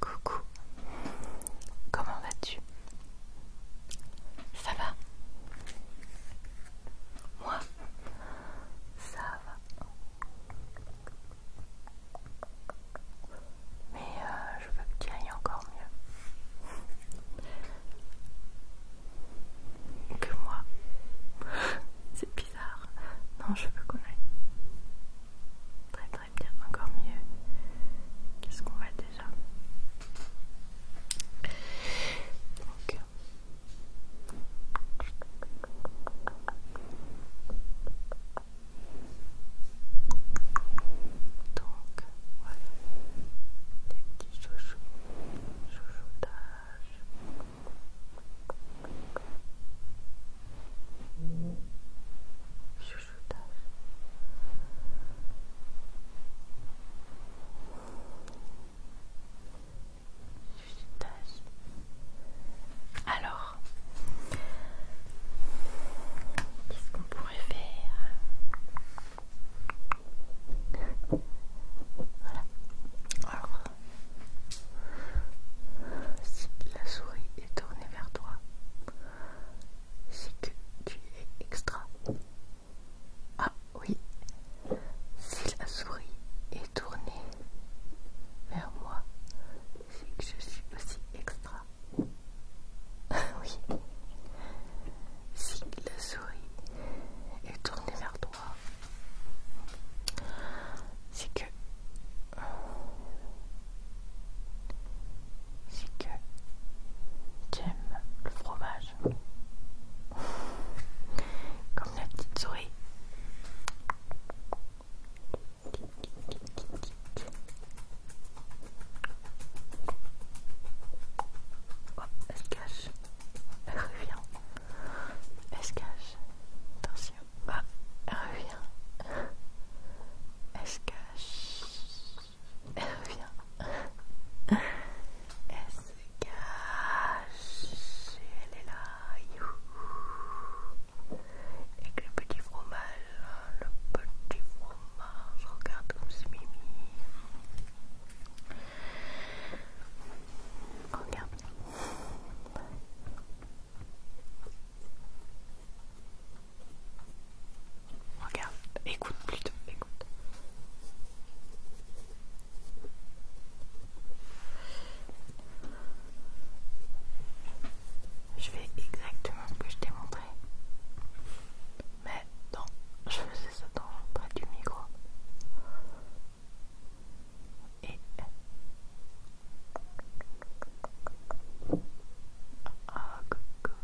Coucou, comment vas-tu Ça va Moi, ça va. Mais euh, je veux que tu ailles encore mieux que moi. C'est bizarre. Non, je veux qu'on aille. Très très bien, encore mieux. Qu'est-ce qu'on va déjà Donc. voilà. Des petits chouchous chouchoutage. Chouchoutage. Chouchoutage. Alors, qu'est-ce qu'on pourrait faire voilà. si la souris est tournée vers toi, c'est que tu es extra. Ah oui, si la souris est tournée vers moi, c'est que je suis aussi extra. oui, si la souris et tourner vers toi, c'est que c'est que J'aime le fromage comme la petite souris elle se cache. Elle revient. Elle se cache. Attention. elle revient. Elle se cache. Elle revient. Elle se cache. elle est là. Avec le petit fromage. Hein, le petit fromage. Je regarde comme c'est mimi. Regarde Regarde, écoute plutôt, écoute. Je fais exactement ce que je t'ai montré mais non, je faisais ça dans près du micro. Et ah, coucou.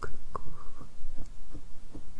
Coucou.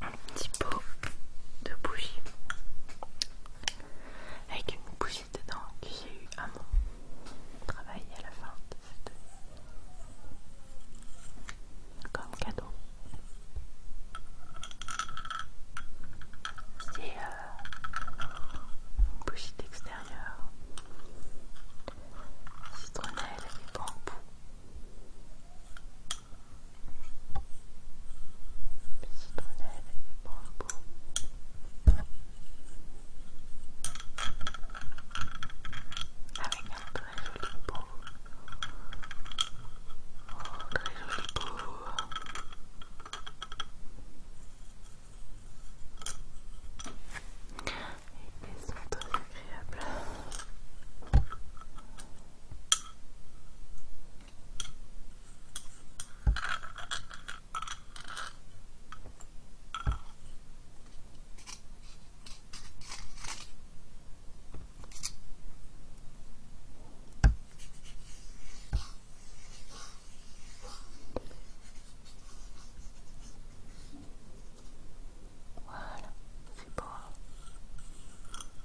un petit pot de bougie avec une bougie dedans que j'ai eu à mon travail à la fin de cette année comme cadeau. C'est euh, une bougie d'extérieur, citronnelle et bambou. Avec un très joli pot. Oh, très joli pot. Et ils sont très agréables. Voilà, c'est bon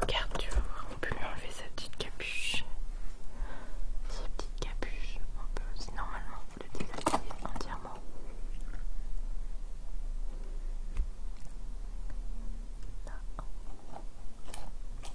Regarde, tu voir, on peut lui enlever sa petite capuche. Sa petite capuche, on peut aussi normalement le déshabiller entièrement. Là.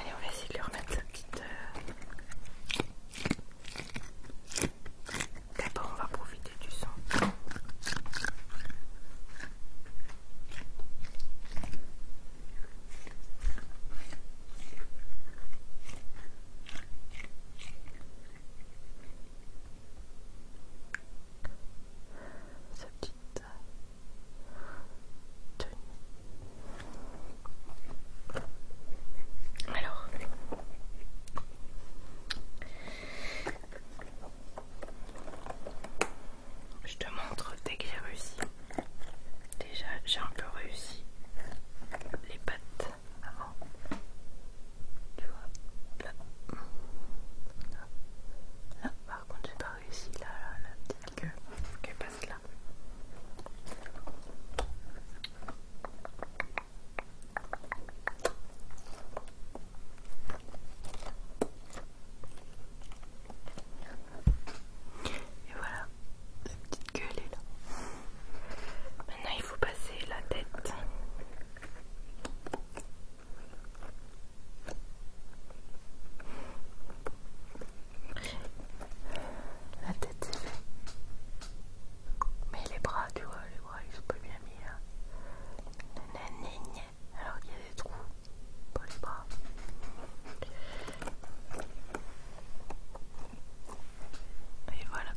Allez, on va essayer de lui remettre sa petite. Euh. D'abord, on va profiter du sang. Sa petite tenue. Alors. Je te montre dès que j'ai réussi. Déjà, j'ai un peu réussi les pattes avant. Tu vois, là. Là, par contre, j'ai pas réussi là, là, la petite queue qui passe là. Et voilà, Cette petite gueule est là. Maintenant, il faut passer la tête. La tête c'est fait. Mais les bras, tu vois, les bras ils sont pas bien mis là alors il y a des trous pour les bras. Et voilà,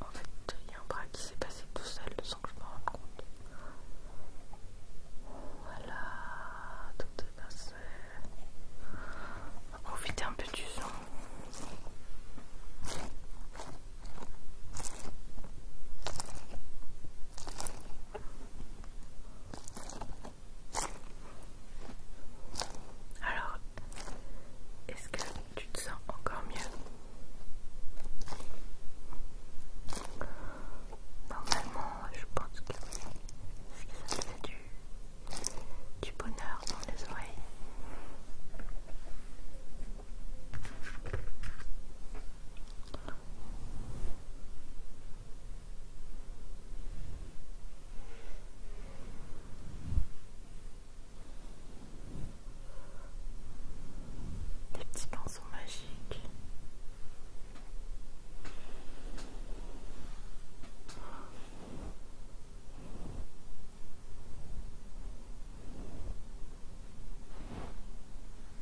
en fait, il y a un bras qui s'est passé tout seul sans que je m'en rende compte. Voilà, tout est passé. On va profiter un peu du son. Alors, est-ce que tu te sens encore mieux Normalement, je pense que ça te fait du bonheur dans les oreilles des petits pinceaux magiques.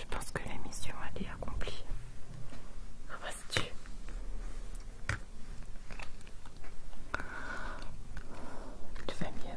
je pense que la mission elle est accomplie. vas ah bah, tu Tu vas mieux.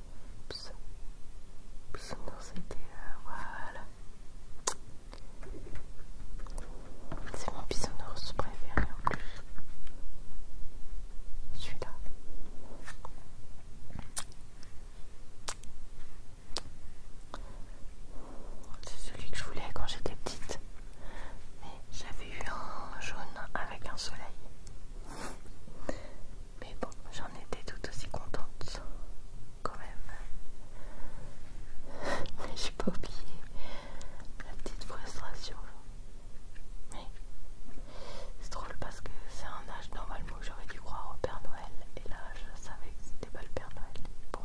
Euh, voilà. C'est mon bisounours préféré en plus. Celui-là. C'est celui que je voulais quand j'étais petite. Mais j'avais eu un jaune avec un soleil. Mais bon, j'en étais tout aussi contente quand même. Mais j'ai pas oublié la petite frustration. Mais c'est drôle parce que c'est un âge normalement où j'aurais dû croire au Père Noël et là je savais que c'était pas le Père Noël. Bon,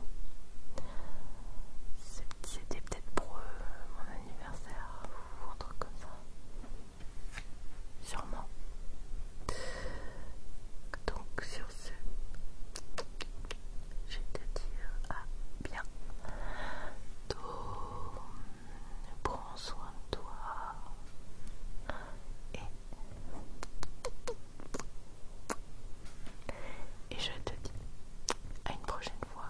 c'était peut-être pour euh, mon anniversaire ou un truc comme ça. Sûrement. Donc sur ce, je te dis euh, à bien. prends soin de toi. Et, et je te dis à une prochaine fois.